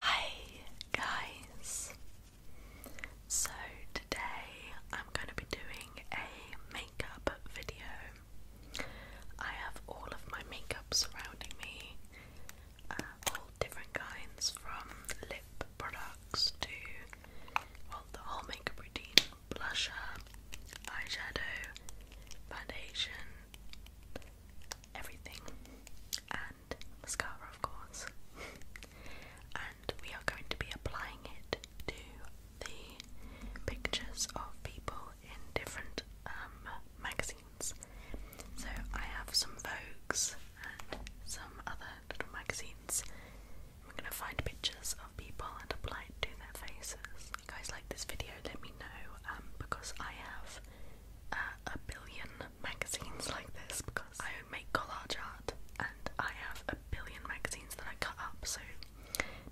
Hi guys! So today I'm going to be doing a makeup video. I have all of my makeup surrounding me, uh, all different kinds from lip products to well, the whole makeup routine blusher, eyeshadow, foundation. Everything, and mascara, of course. and we are going to be applying it to the pictures of people in different um, magazines. So I have some Vogues and some other little magazines. We're going to find pictures of people and apply it to their faces. If you guys like this video, let me know um, because I have uh, a billion magazines like this because I make collage art and I have a billion magazines that I cut up, so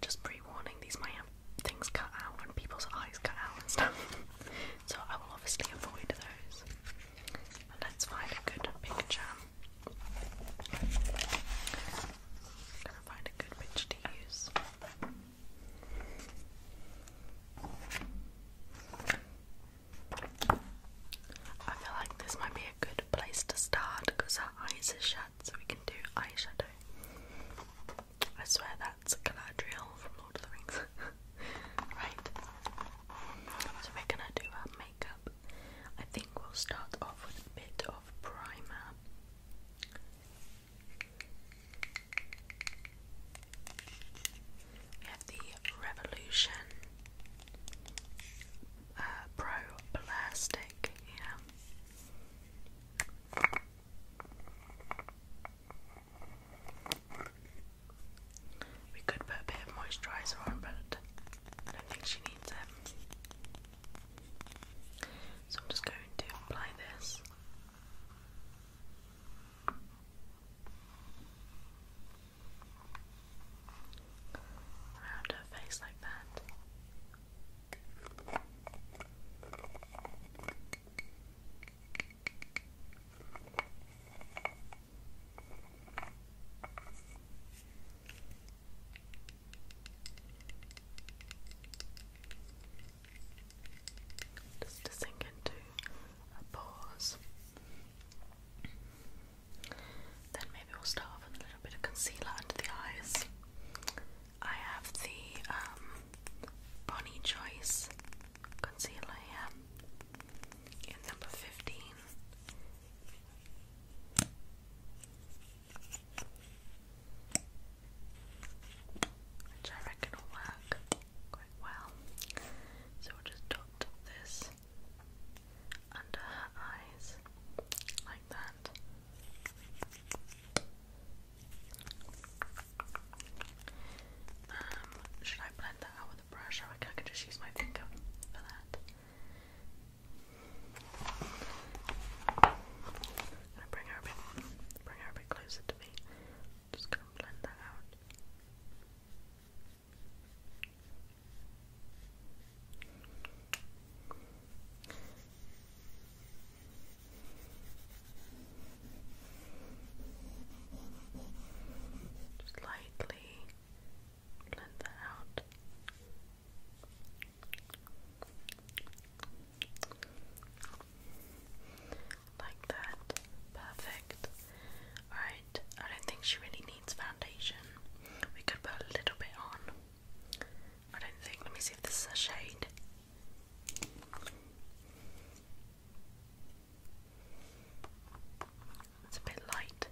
just pre warning, these might have things cut out and people's eyes cut out and stuff. so I will obviously avoid those. let's find a good picture. gonna find a good picture to use. I feel like this might be a good place to start because our eyes are shut, so we can do eyeshadow. I swear that's Galadriel from Lord of the Rings. right. So we're gonna do our makeup. I think we'll start off with a bit of primer have the Revolution uh, Pro Plastic, yeah. We could put a bit of moisturiser on, but I don't think she needs it. So I'm just going to apply this. Around her face like that. Just to sink into a pause. Then maybe we'll start with a little bit of concealer under the eyes. I have the um, Bonnie Choice concealer in number 15. Which I reckon quite well. So we'll just dot this under her eyes like that. Um, should I blend that out with a brush? I I just use my finger for that. gonna bring her a bit, bring her a bit closer to me. Just gonna blend that out. Just lightly blend that out like that. Perfect. Alright, I don't think she really needs foundation. We could put a little bit on. I don't think. Let me see if this is a shade. It's a bit light.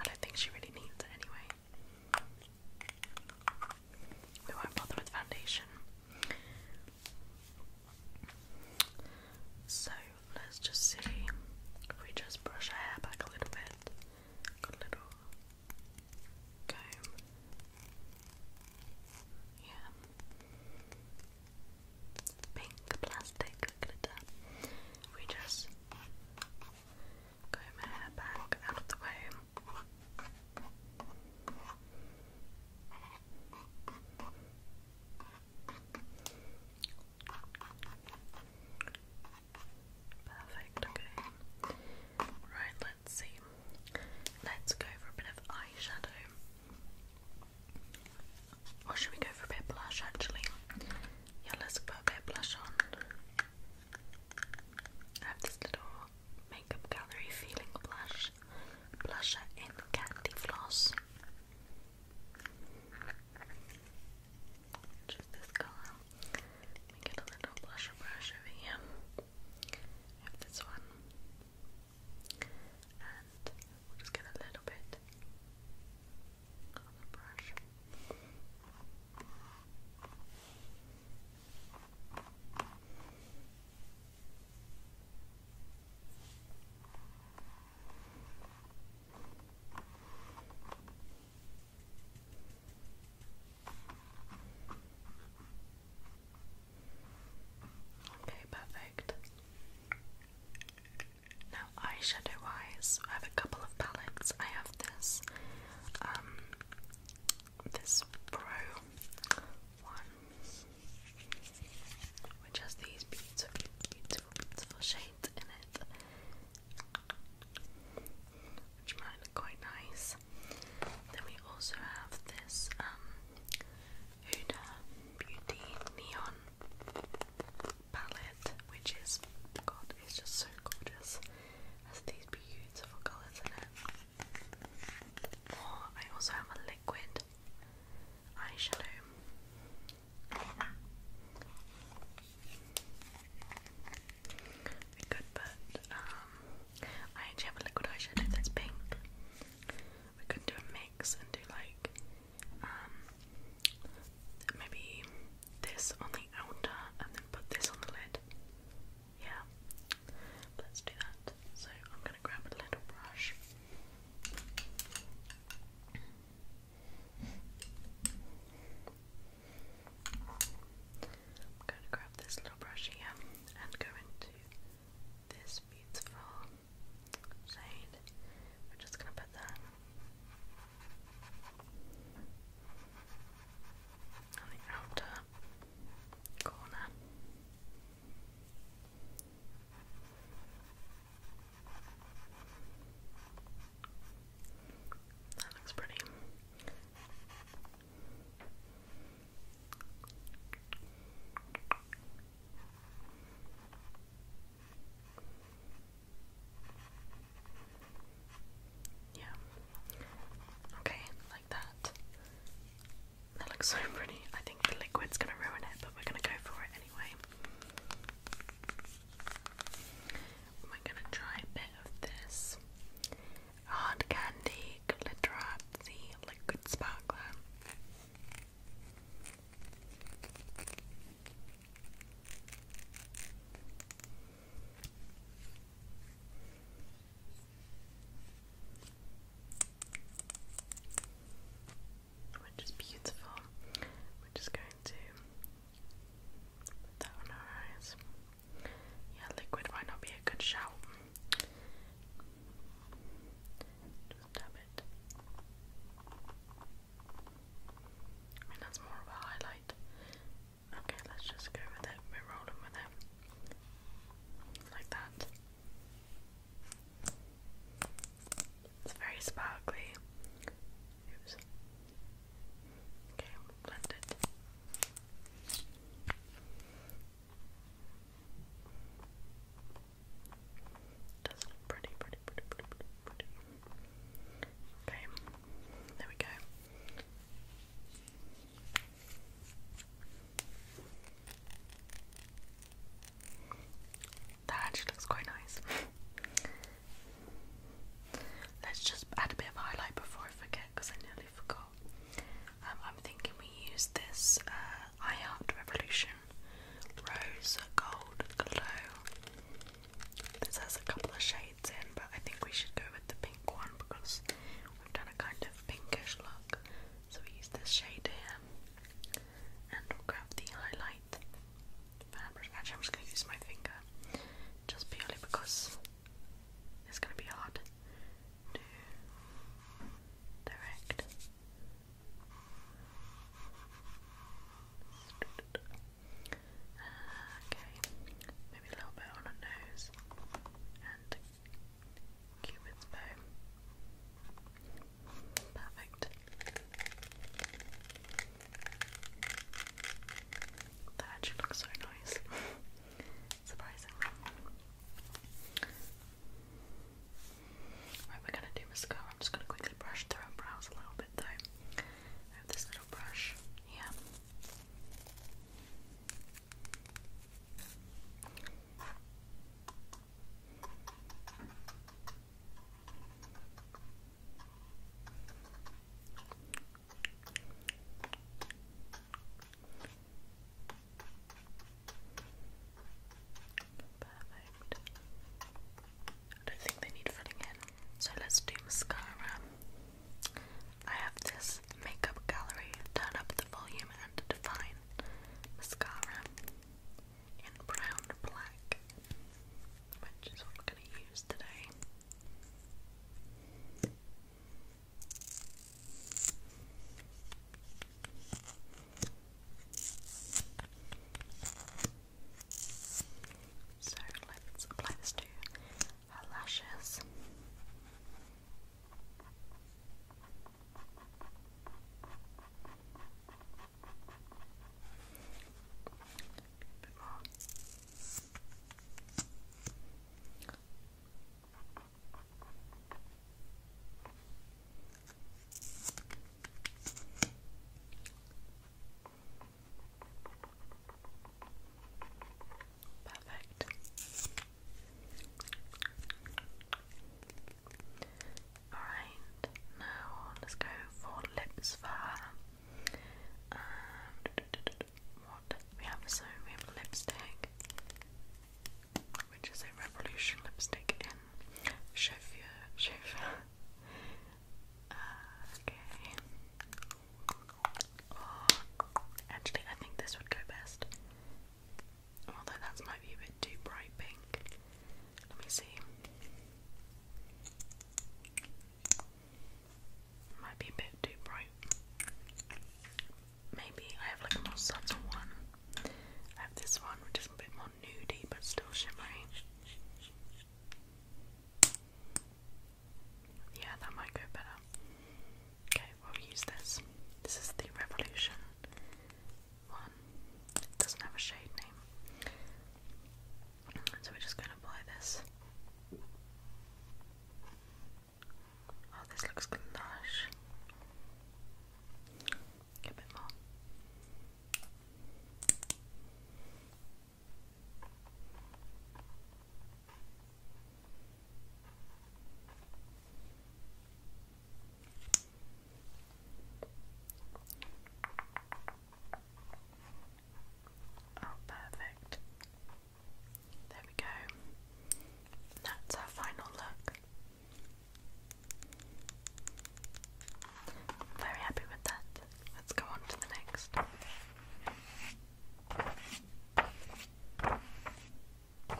I don't think she really needs it anyway. We won't bother with foundation. So let's just see if we just brush our hair back a little bit. Got a little comb. Yeah. Pink plastic glitter. We just comb our hair back out of the way. Perfect, okay. Right, let's see. Let's go for a bit of eyeshadow. Or should we go for a bit blush actually? Yeah, let's put a bit blush on. I have this little makeup gallery feeling blush blusher and Candy Floss. Which this color. Let get a little blusher brush over here. have this one. And we'll just get a little bit on the brush. Okay, perfect. Now, eyeshadow wise, I have a couple of palettes. I have this, um, this Pro which has these beautiful, beautiful, beautiful shades in it, which might look quite nice. Then we also have this um, Huda Beauty Neon palette, which is God, it's just so gorgeous. Has these beautiful colours in it. Or oh, I also have a liquid eyeshadow. I could um, I actually have a liquid eyeshadow that's pink. We could do a mix and do like, um, maybe this on the outer and then put this on the lid. Yeah, Let's do that. So I'm going to grab a little brush. I'm going to grab this little brush here and go into this beautiful shade. We're just going to put that on the outer corner. That looks pretty. Yeah. Okay, like that. That looks so pretty. I think the liquid's gonna ruin it, but we're gonna go for it anyway. We're gonna try a bit of this hard candy glitterazzi liquid sparkler which is beautiful. We're just going to put that on our eyes. Yeah, liquid might not be a good shout. Just dab it. I mean, that's more of a highlight. Okay, let's just go with it. We're rolling with it. Like that. It's very sparkly. Okay, blend it. Does pretty, pretty, pretty, pretty, pretty. Okay, there we go. That actually looks quite nice. Let's just add a bit of highlight before I forget because I nearly forgot. Um, I'm thinking we use this uh, Revolution Rose Gold Glow. This has a couple of shades in, but I think we should go with the pink one because we've done a kind of pinkish look. So we use this shade here and grab the highlight Actually, I'm just going to use my finger just purely because it's going to be hard to direct. Okay, maybe a little bit on her nose Cupid's bow. Perfect. That actually looks so nice. Surprisingly. Right, we're gonna do mascara. I'm just gonna quickly brush through and brows a little bit though. I have this little brush here. Perfect. I don't think they need filling in. So let's do mascara. I have this makeup gallery. Turn up the volume and define mascara in brown black, which is what we're going to use today. So let's apply this to her lashes bit more. Perfect. Alright, now let's go for lips for we have so we have lipstick which is a revolution lipstick in Chauffeur Chauffeur. okay. Oh, actually I think this would go best. Although that might be a bit too bright pink. Let me see. Might be a bit too bright. Maybe I have like a more subtle one. I have this one which is a bit more nudie but still shimmery. Yeah, that might go better. Okay, we'll use this. This is the Revolution one. doesn't have a shade name. So we're just going to apply this. Oh, this looks lush. a bit more. Oh, perfect. There we go. That's our final look. very happy with that. Let's go on to the next. Mm,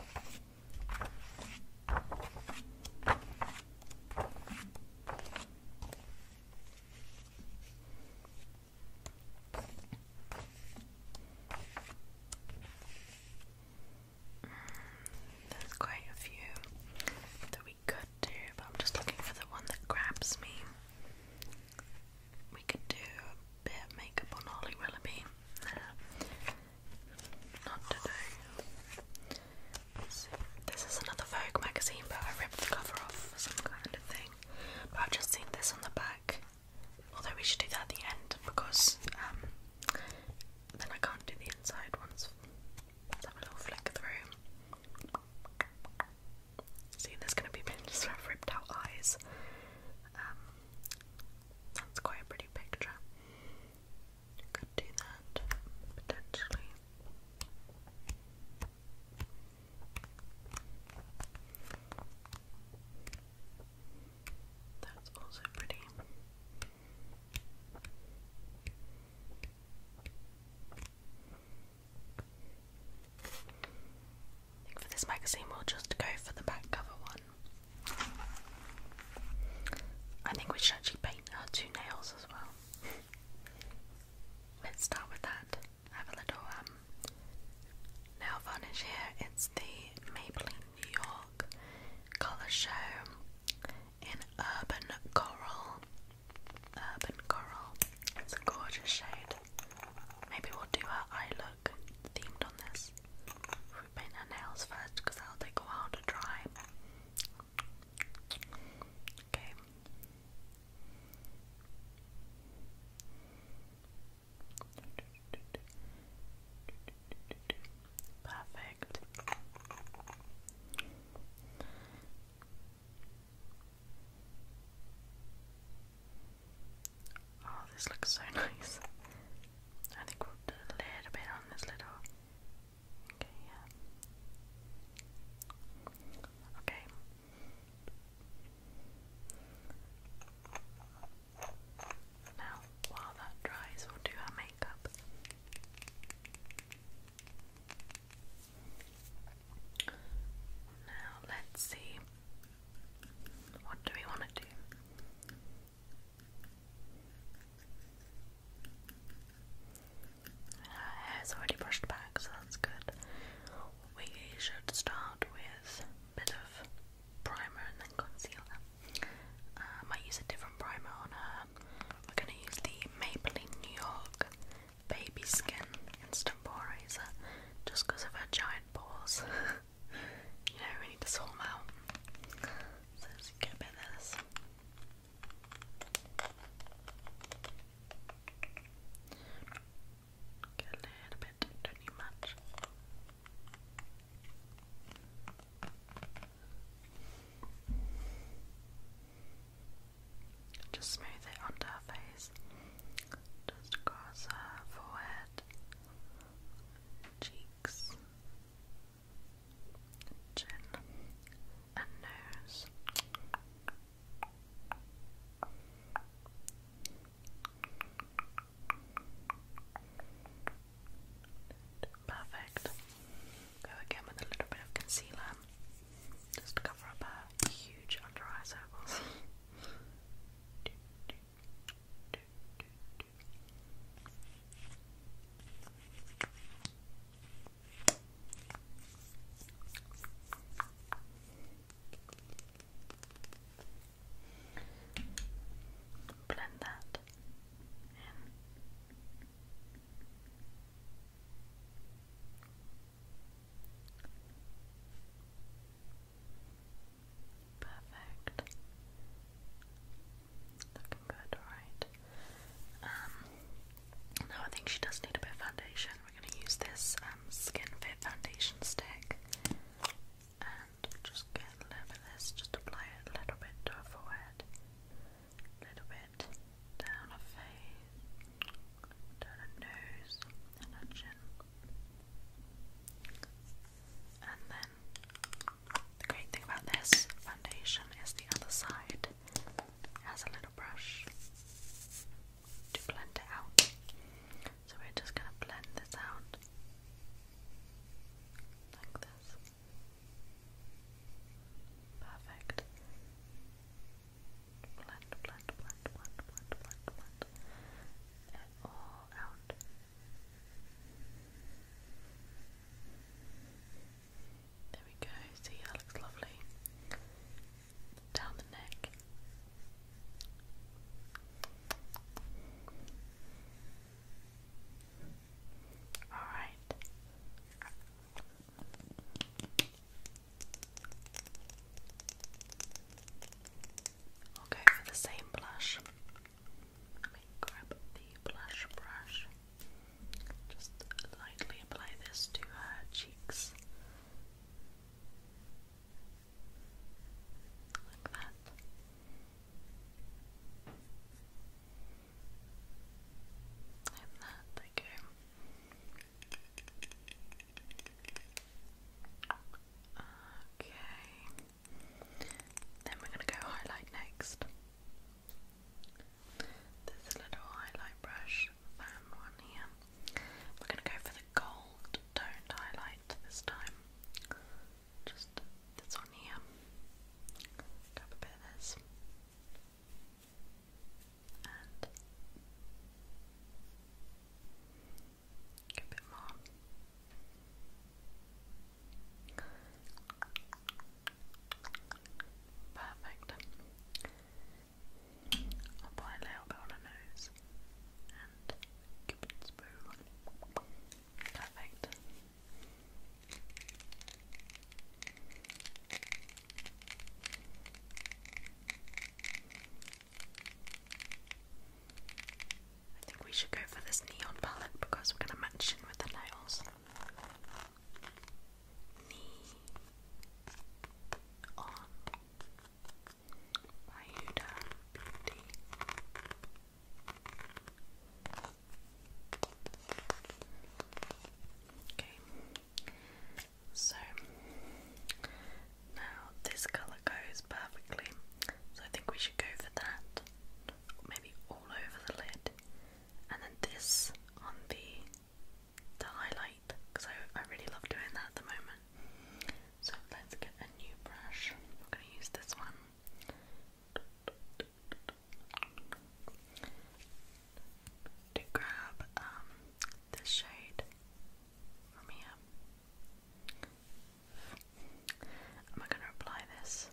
there's quite a few that we could do, but I'm just looking for the one that grabs me. We could do a bit of makeup on Ollie Willoughby. Not today. this is another Vogue magazine, but I ripped the cover off for some kind of thing. But I've just seen this on the back. Although we should do that at the end because um, then I can't do the inside ones. have a little flick through. See, there's going to be pictures of ripped out eyes. that's um, quite a pretty picture. You could do that potentially. That's also pretty. I think for this magazine we'll just go for the back cover one. I think we should actually paint her two nails as well. Let's start with that. have a little um, nail varnish here. It's the Maybelline New York Color Show in Urban Coral. Urban Coral. It's a gorgeous shade. Maybe we'll do her eye look themed on this we paint our nails first because that'll take a while to dry. Okay. Perfect. Oh, this looks so nice. I think we'll do a little bit on this little. Okay, yeah. Okay. Now, while that dries, we'll do our makeup. Now, let's see. What do we want to do? Her uh, hair's already brushed back, so that's good. We should start with a bit of primer and then concealer. Uh, might use a different primer on her. We're going to use the Maybelline New York Baby Skin Instant Pore Razor just because of her giant pores. you know, we need to sort them out. So let a bit of this. a little bit, not need much. Just smooth it onto her face. Just across her forehead, cheeks, chin, and nose. Perfect. Go again with a little bit of concealer. Just cover up our huge under eye circles. Blend that in. Perfect. Looking good, alright. Um, I think she does need a bit of foundation. We're going to use this um, Skin Fit foundation stick. And just get a little bit of this, just apply it a little bit to her forehead. A little bit down her face, down her nose, and her chin. And then the great thing about this foundation is the other side has a little brush to blend it out. So we're just going to blend this out like this. Perfect. Blend, blend, blend, blend, blend, blend, blend. It all there we go, see that looks lovely. Down the neck. Alright. I'll go for the same blush grab the blush brush. Just lightly apply this to her cheeks. Like that. And that, there you go. Okay. Then we're going to go highlight next. This little highlight brush, found um, one here. We're going to go for the gold toned highlight this time. Just this one here. Grab a bit of this. And a bit more. Perfect. I'll apply a little bit on her nose and Cupid's bow. Perfect. Perfect. I think we should go for this neon palette because we're going to match in with the nails. Neon by Beauty. Okay, so now this colour goes perfectly, so I think we should go for that maybe all over the lid, and then this on the the highlight because I I really love doing that at the moment. So let's get a new brush. I'm gonna use this one. To grab um this shade from here Am I going to apply this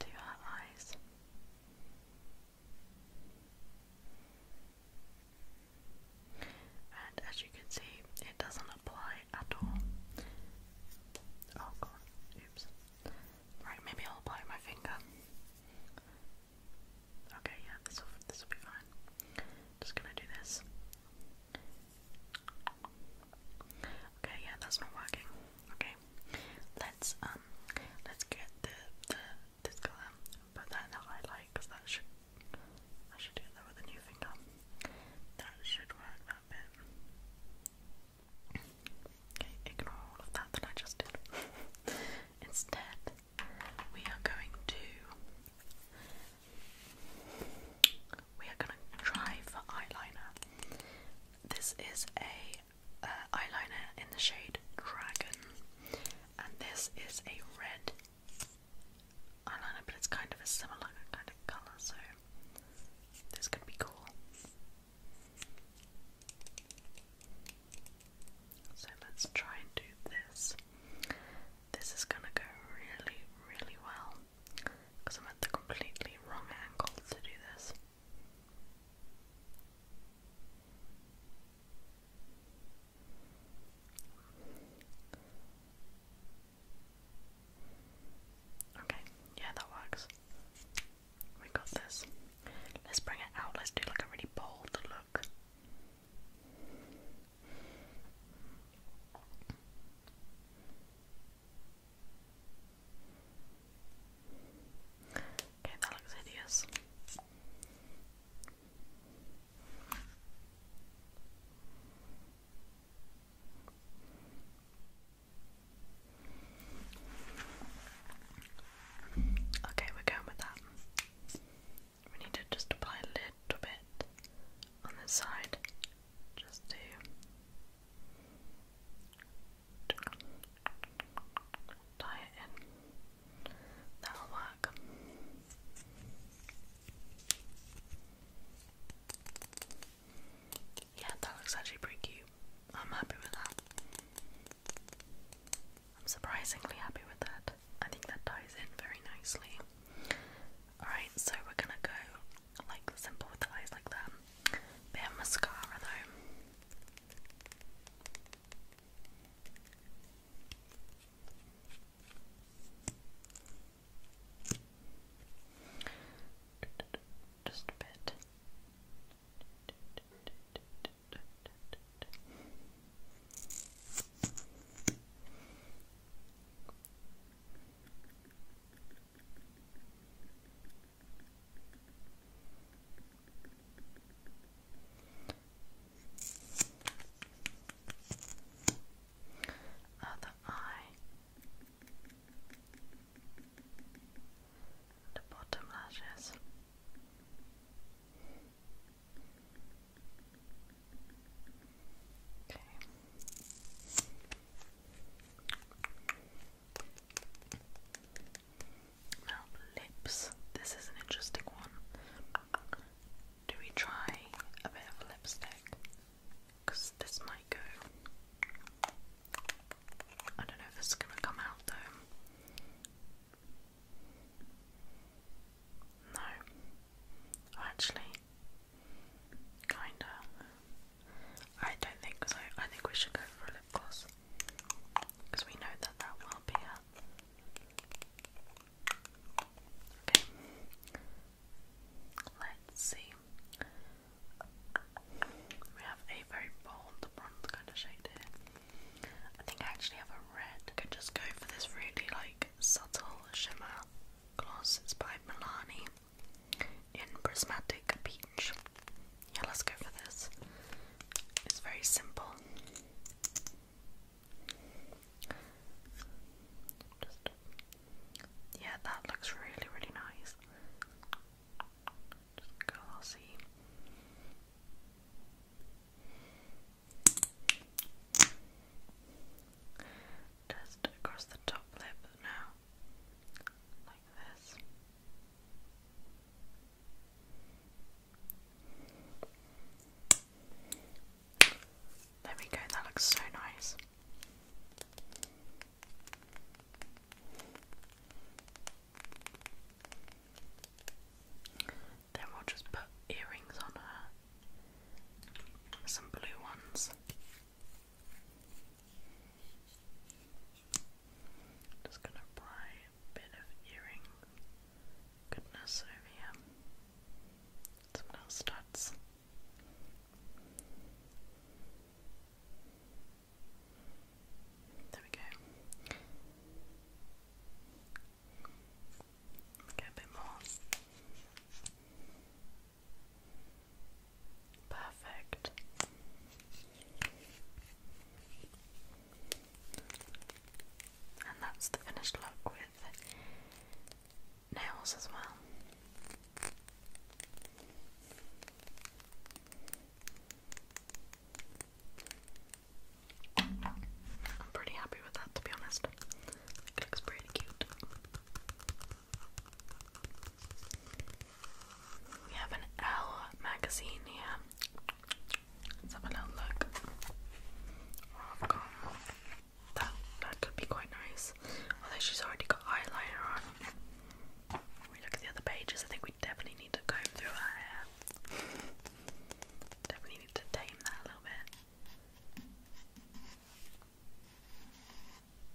to her eyes? And as you can see, it doesn't apply at all. Oh god, oops. Right, maybe I'll apply my finger. Okay, yeah, this will, be fine. Just gonna do this. Okay, yeah, that's not working. Okay, let's um, let's get the the this color, put the highlight because that should I should do that with a new finger. That should work that bit. Okay, ignore all of that that I just did. Instead, we are going to we are gonna try for eyeliner. This is a uh, eyeliner in the shade Dragon, and this is a red eyeliner, but it's kind of a similar kind of color, so this could be cool. So let's try and do this. This is gonna go really, really well because I'm at the completely wrong angle to do this. Okay, yeah, that works. We got this. Let's bring it out. Let's do like a really bold look. Okay, that looks hideous. Okay, we're going with that. We need to just apply a little bit on this side just to Tie it in. That'll work. Yeah, that looks actually pretty cute. I'm happy with that. I'm surprisingly happy with that. I think that ties in very nicely. Alright, so we're gonna go like simple with the eyes like that. Bit of mascara though. Just a bit. Other eye, the bottom lashes. Okay lips. This is an interesting one. Do we try a bit of lipstick? Because this might go. I don't know if this is going to come out though. No. Actually, kinda. I don't think so. I think we should go for a lip gloss because we know that that will be it. Okay, let's see. We have a very bold bronze kind of shade here. I think I actually have a red. I could just go for this really like subtle shimmer gloss. by Milani in Prismatic Peach. Yeah, let's go for this. It's very simple. yeah, that looks really, really nice. Just go, I'll see. Just across the top lip now. There we go, that looks so nice. Then we'll just put earrings on her, some blue ones. Just gonna apply a bit of earring goodness over here. Some little studs. There we go. Get a bit more. Perfect. And that's the finished look with nails as well. I'm pretty happy with that to be honest. looks pretty cute. We have an L magazine here. Let's have a little look. Oh, that that could be quite nice. Although she's already got eyeliner on. We look at the other pages. I think we definitely need to comb through her hair. definitely need to tame that a little bit.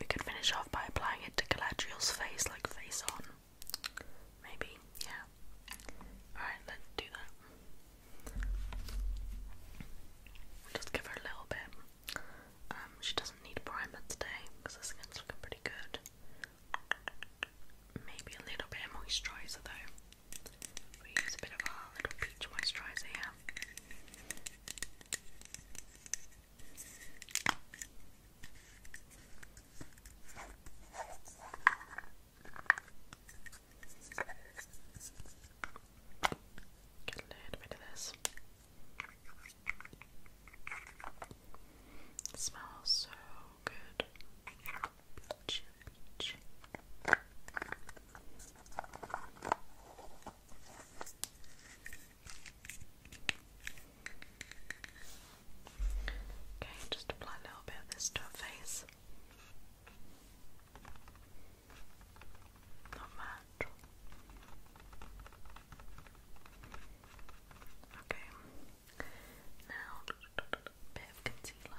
We could finish off by applying it to Galadriel's face, like face on. Maybe, yeah. Alright, let's do that. just give her a little bit. Um, she doesn't need primer today because her skin's looking pretty good. Maybe a little bit moisturizer though. We use a bit of our little peach moisturiser Get a little bit of this. It smells so good church. Okay, just apply a little bit of this to her face. Not much. Okay, now bit of concealer.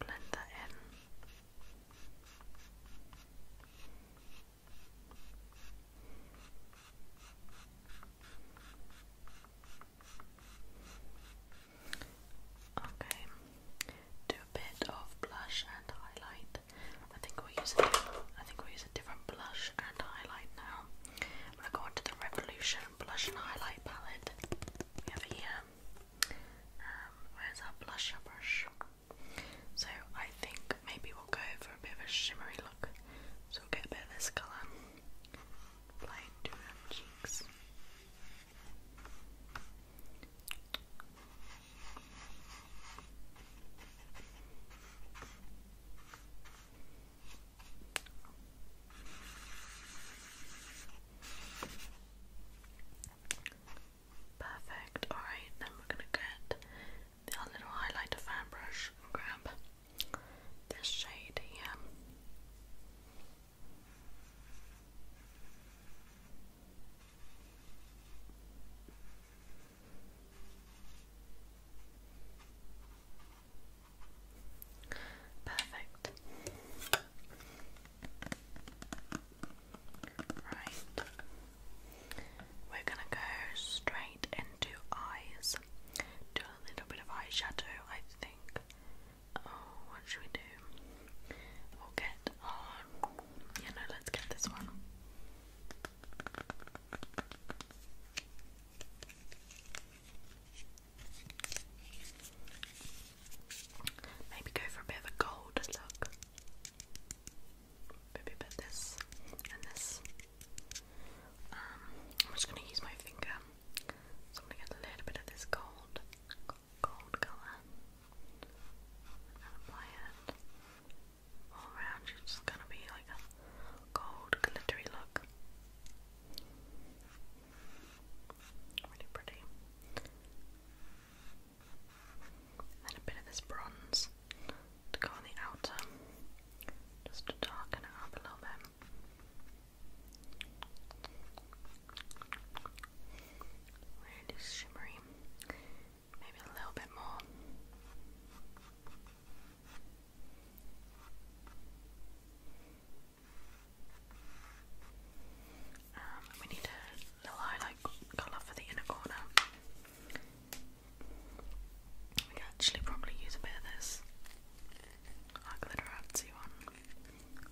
Blend that in. Okay, do a bit of blush and highlight. I think we use a different blush and highlight now. I'm going to the Revolution blush and highlight palette we here. Um, where's our blusher brush? So I think maybe we'll go for a bit of a shimmery look. So we'll get a bit of this colour. Apply to her cheeks. Perfect. Alright, then we're going to get the little highlighter fan brush and grab this shade here. Perfect. Right. We're gonna go straight into eyes. Do a little bit of eyeshadow, I think. Oh, what should we do? We'll get Yeah, no, let's get this one. Maybe go for a bit of a gold look. Maybe put this and this. Um, I'm just gonna use my finger, so I'm gonna get a little bit of this gold, gold color, and apply it all around. It's just gonna be like a gold glittery look. Really pretty. And a bit of this bronze to go on the outer, just to darken it up a little bit. Really shimmery, maybe a little bit more. Um, we need a little highlight colour for the inner corner. We could actually probably use a bit of this like glitterazzi one,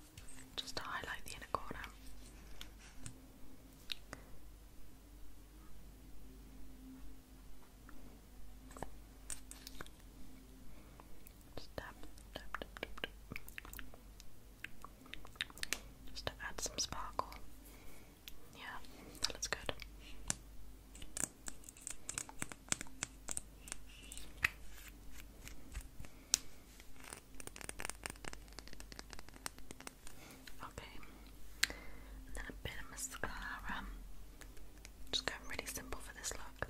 just to highlight the inner corner. Just to add some sparkle. Yeah, that looks good. Okay, and then a bit of mascara. Just going really simple for this look.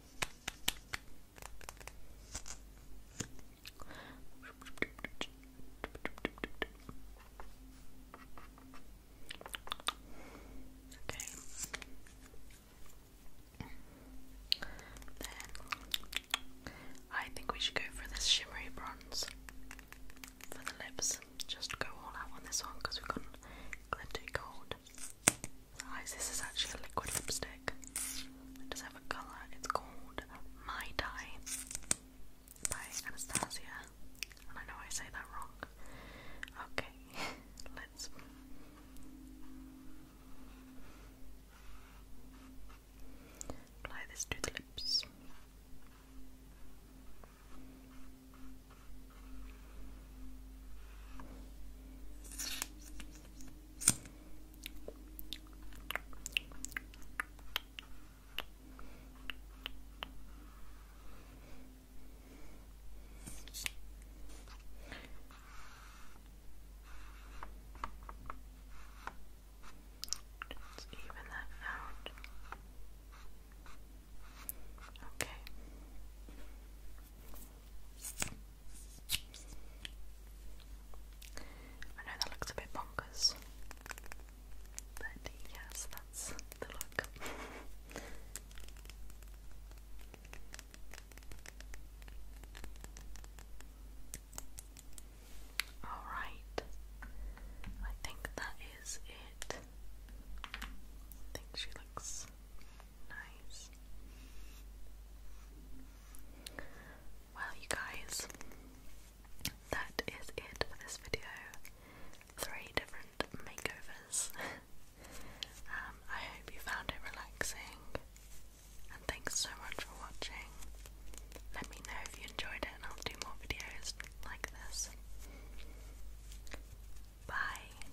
Okay. Then I think we should go for this shimmery bronze for the lips. Just go all out on this one because we've got glitter gold size. This is actually a liquid lipstick. It does have a colour. It's called My Dye by Anastasia. I know I say that wrong. Okay, let's. Apply this to the lips. Let's even that out. Okay. I know that looks a bit bonkers, but yes, that's the look. Alright, I think that is it. I think she looks Nice. Well, you guys, that is it for this video. Three different makeovers. Um, I hope you found it relaxing, and thanks so much for watching. Let me know if you enjoyed it, and I'll do more videos like this. Bye.